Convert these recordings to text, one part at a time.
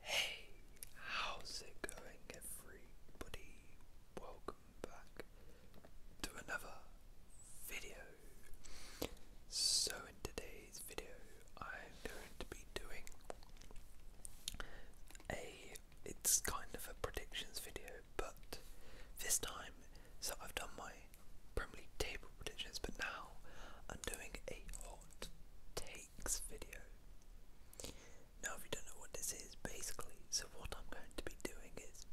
Hey, how's it going, everybody? Welcome back to another video. So, in today's video, I'm going to be doing a it's kind of a predictions video, but this time, so I've done my Premier League table predictions, but now I'm doing a hot. Take cakes video. Now if you don't know what this is, basically, so what I'm going to be doing is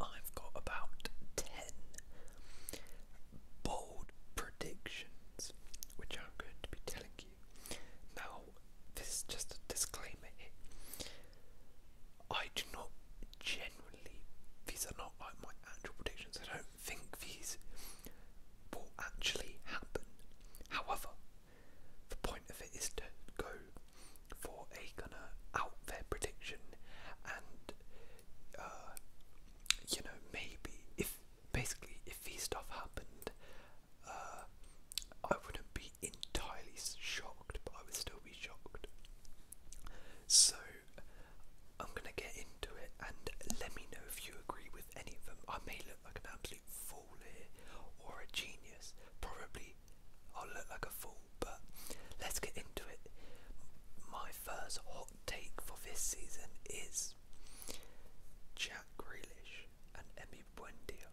I've got about 10 bold predictions which I'm going to be telling you. Now, this is just a disclaimer I do not genuinely. these are not like my actual predictions, I don't think these will actually happen. However, the point of it is to go for a kind of out there prediction and uh, you know maybe if basically if these stuff happened uh, I wouldn't be entirely shocked but I would still be shocked so I'm gonna get into it and let me know if you agree with any of them I may look look like an absolute fool here or a genius. Probably I'll look like a fool, but let's get into it. My first hot take for this season is Jack Grealish and Emmy Buendia.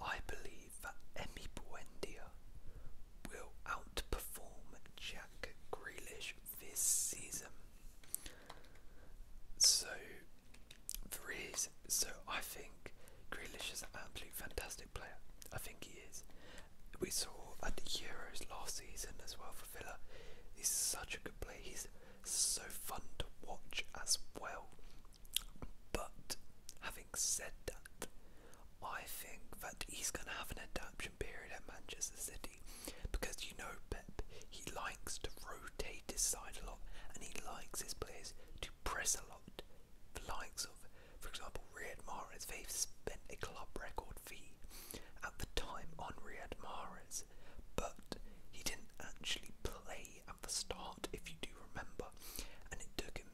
I believe that Emmy Buendia will outperform Jack Grealish this season. So there is. So I think Grealish is an absolute fantastic player. I think he is. We saw at Euros last season as well for Villa. He's such a good player. He's so fun to watch as well. But having said that, I think that he's going to have an adaptation period at Manchester City because you know Pep, he likes to rotate his side a lot, and he likes his players to press a lot. The likes of, for example, Riyad Mahrez, they've spent a club record fee at the time on Riyad Mahrez, but he didn't actually play at the start, if you do remember, and it took him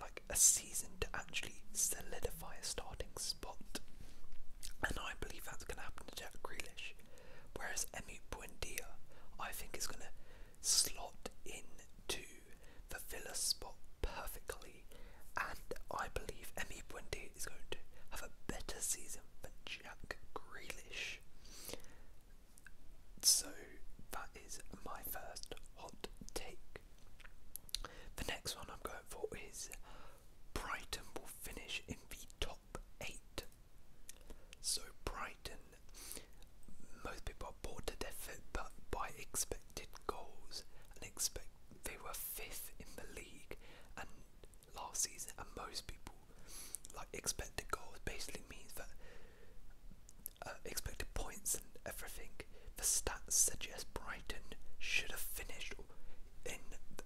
like a season to actually solidify a starting and I believe that's going to happen to Jack Grealish. Whereas Emu Buendia, I think, is going to slot into the Villa spot perfectly. And I believe Emu Buendia is going to have a better season than Jack Grealish. So that is my first hot take. The next one I'm going for is Brighton will finish in the top eight. So Brighton, most people are bored to death but by expected goals and expect they were fifth in the league and last season and most people like expected goals basically means that uh, expected points and everything. The stats suggest Brighton should have finished in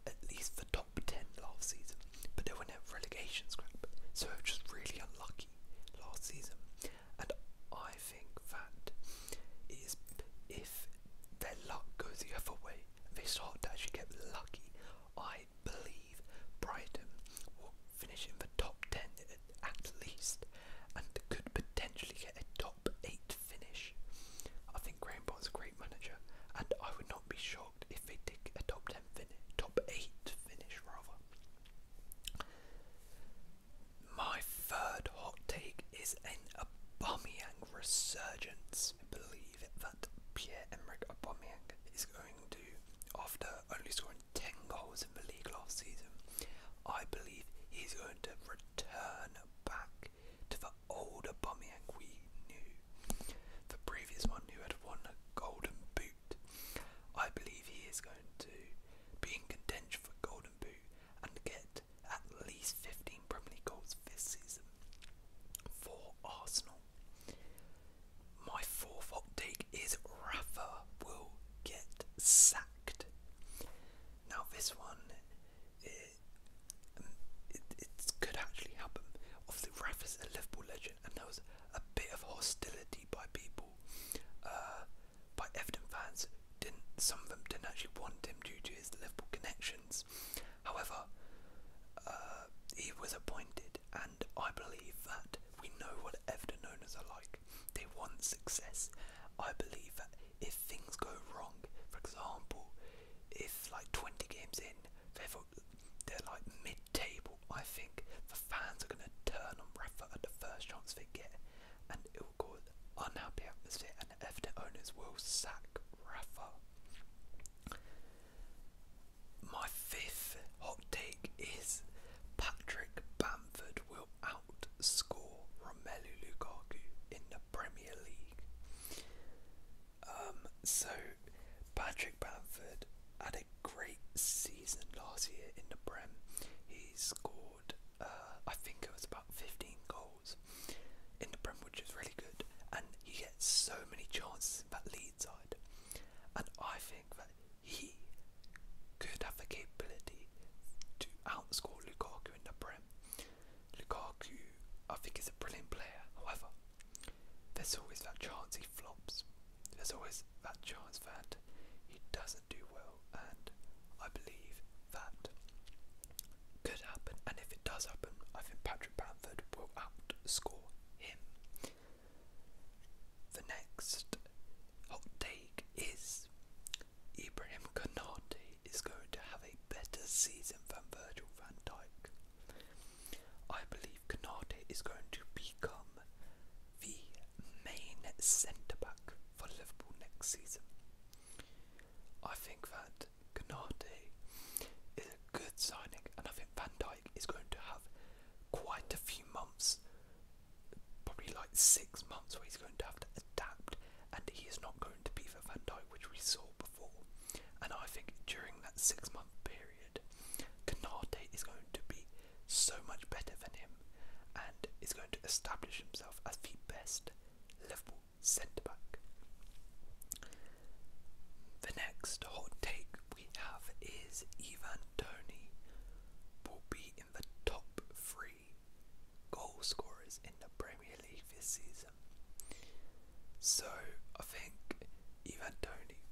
at least the top top 10 last season, but they were in a relegation scrap, so they were just really unlucky last season. And I think that it is if their luck goes the other way, they start to actually get lucky. I believe Brighton will finish in the top 10 at least and could potentially get a top 8 finish. I think Graham Bond's a great manager, and I would not be shocked if they did a top ten finish, top eight finish rather. My third hot take is an Aubameyang resurgence. I believe that Pierre-Emerick Aubameyang is going to, after only scoring ten goals in the league last season, I believe he's going to return back to the older Aubameyang we knew, the previous one who had won a Golden Boot. I believe he is going to be in contention for Golden Boot and get at least 15 Premier League goals this season for Arsenal. My fourth hot is Rafa will get sacked. Now this one it, it could actually happen. Obviously, Rafa's a Liverpool legend, and there was a bit of hostility by people, uh, by Everton fans. Didn't some of them didn't actually want him due to his Liverpool connections. However, uh, he was appointed, and I believe that we know what Everton owners are like. They want success. I believe that if things go wrong, for example, if like 20 games in, they've they're like mid-table. I think the fans are going to turn on Rafa at the first chance they get, and it will cause unhappy atmosphere. And Everton owners will sack Rafa. My fifth hot take is Patrick Bamford will outscore Romelu Lukaku in the Premier League. Um, so Patrick Bamford had a great season last year in the Prem. He scored, uh, I think it was about 15 goals in the Prem, which is really good. And he gets so many chances in that lead side. And I think that he could have the capability to outscore Lukaku in the Prem. Lukaku, I think, is a brilliant player. However, there's always that chance he flops. There's always that chance that he doesn't do well, and I believe that could happen. And if it does happen, I think Patrick Bamford will outscore him. The next hot take is Ibrahim Kanate is going to have a better season than Virgil van Dijk. I believe Canate is going to become the main centre back for Liverpool next season. I think that Canate is a good signing, and I think Van Dijk is going to have quite a few months, probably like six months, where he's going to have to adapt, and he is not going to be the Van Dijk which we saw and I think during that six month period, Canate is going to be so much better than him and is going to establish himself as the best Liverpool centre back. The next hot take we have is Ivan Tony will be in the top three goal scorers in the Premier League this season. So I think Ivan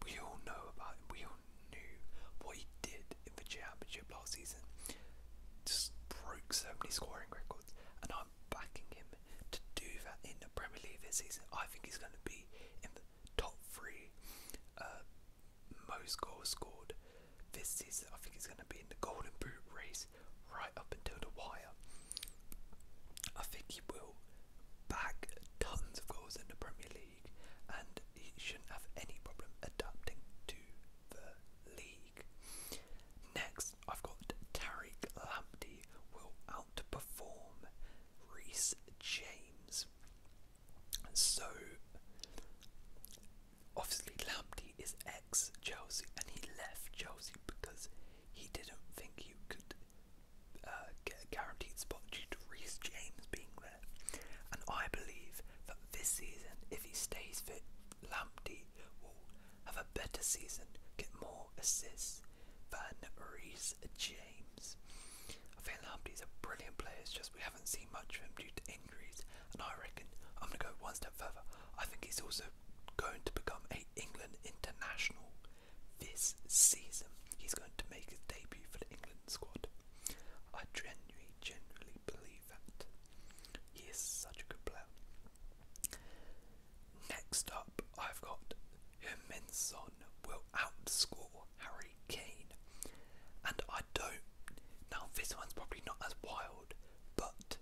we all know about we all knew what he did in the championship last season. Just broke so many scoring records, and I'm backing him to do that in the Premier League this season. I think he's going to be in the top three uh, most goals scored this season. I think he's going to be in the Golden Boot race right up until the wire. I think he will bag tons of goals in the Premier League and he shouldn't have any problem adapting to the league. Next, I've got Tariq Lamptey will outperform Reese James. So, obviously, Lamptey is ex Chelsea and he left Chelsea because he didn't think you could uh, get a guaranteed spot due to Reece James being there. And I believe that this season, if he stays fit, Lamptey will have a better season, get more assists than Reece James. I think Lamptey's a brilliant player, it's just we haven't seen much of him due to injuries. And I reckon I'm going to go one step further. I think he's also going to become a England international this season, he's going to make his debut for the England squad. I genuinely, genuinely believe that. He is such a good player. Next up, I've got Huminson will outscore Harry Kane. And I don't. Now, this one's probably not as wild, but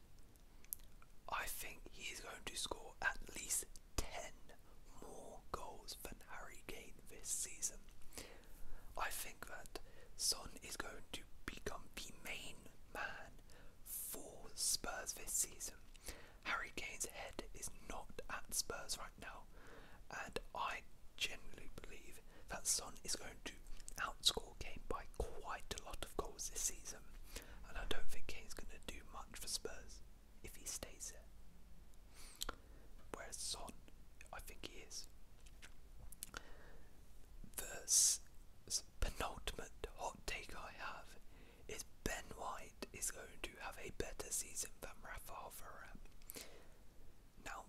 I think he's going to score at least 10 more goals than Harry Kane this season. I think that Son is going to become the main man for Spurs this season. Harry Kane's head is not at Spurs right now, and I genuinely believe that Son is going to outscore Kane by quite a lot of goals this season, and I don't think Kane's going to do much for Spurs if he stays there. Whereas Son, I think he is. The penultimate hot take I have is Ben White is going to have a better season than Rafael Varane. Now,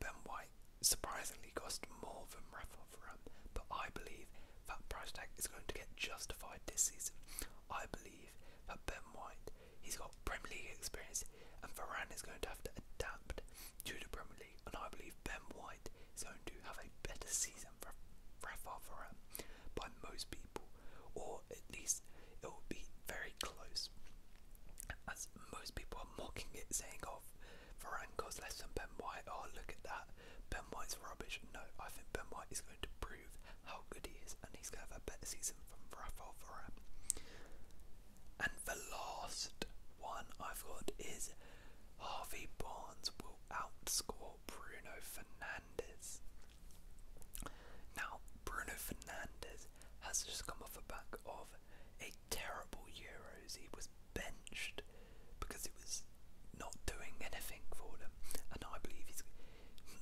Ben White surprisingly cost more than Rafael Varane, but I believe that price tag is going to get justified this season. I believe for Ben White. He's got Premier League experience, and Varane is going to have to adapt to the Premier League. And I believe Ben White is going to have a better season for Rafa Varane by most people, or at least it will be very close. As most people are mocking it, saying, "Oh, Varane costs less than Ben White. Oh, look at that. Ben White's rubbish." No, I think Ben White is going to prove how good he is, and he's going to have a better season from Rafael Varane. And the last one I've got is Harvey Barnes will outscore Bruno Fernandez. Now, Bruno Fernandez has just come off the back of a terrible Euros. He was benched because he was not doing anything for them, and I believe he's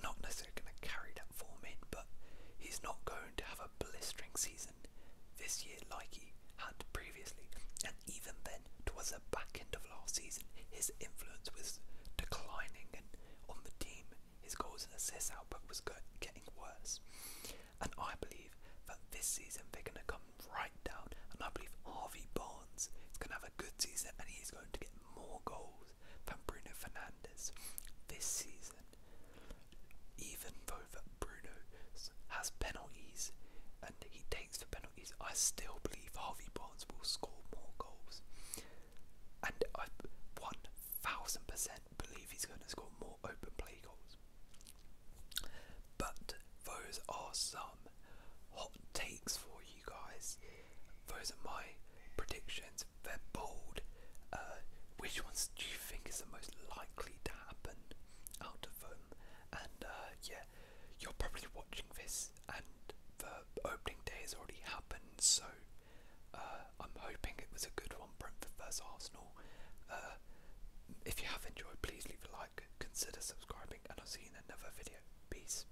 not necessarily going to carry that form in, but he's not going to have a blistering season this year like he had previously. And even then, towards the back end of last season, his influence was declining and on the team, his goals and assists output was getting worse. And I believe that this season they're going to come right down, and I believe Harvey Barnes is going to have a good season and he's going to get more goals goals Bruno Fernandes this season, even though Bruno has penalties and he takes the penalties, I still believe Harvey Barnes will score more goals. And I 1000% believe he's going to score more open play goals. But those are some hot takes for you guys. Those are my predictions. They're bold. Uh, which ones do you think is the most likely to happen out of them? And uh, yeah, you're probably watching this, and the opening day has already happened, so uh, I'm hoping it was a good one. Brentford first Arsenal. if you have enjoyed, please leave a like, consider subscribing, and I'll see you in another video. Peace.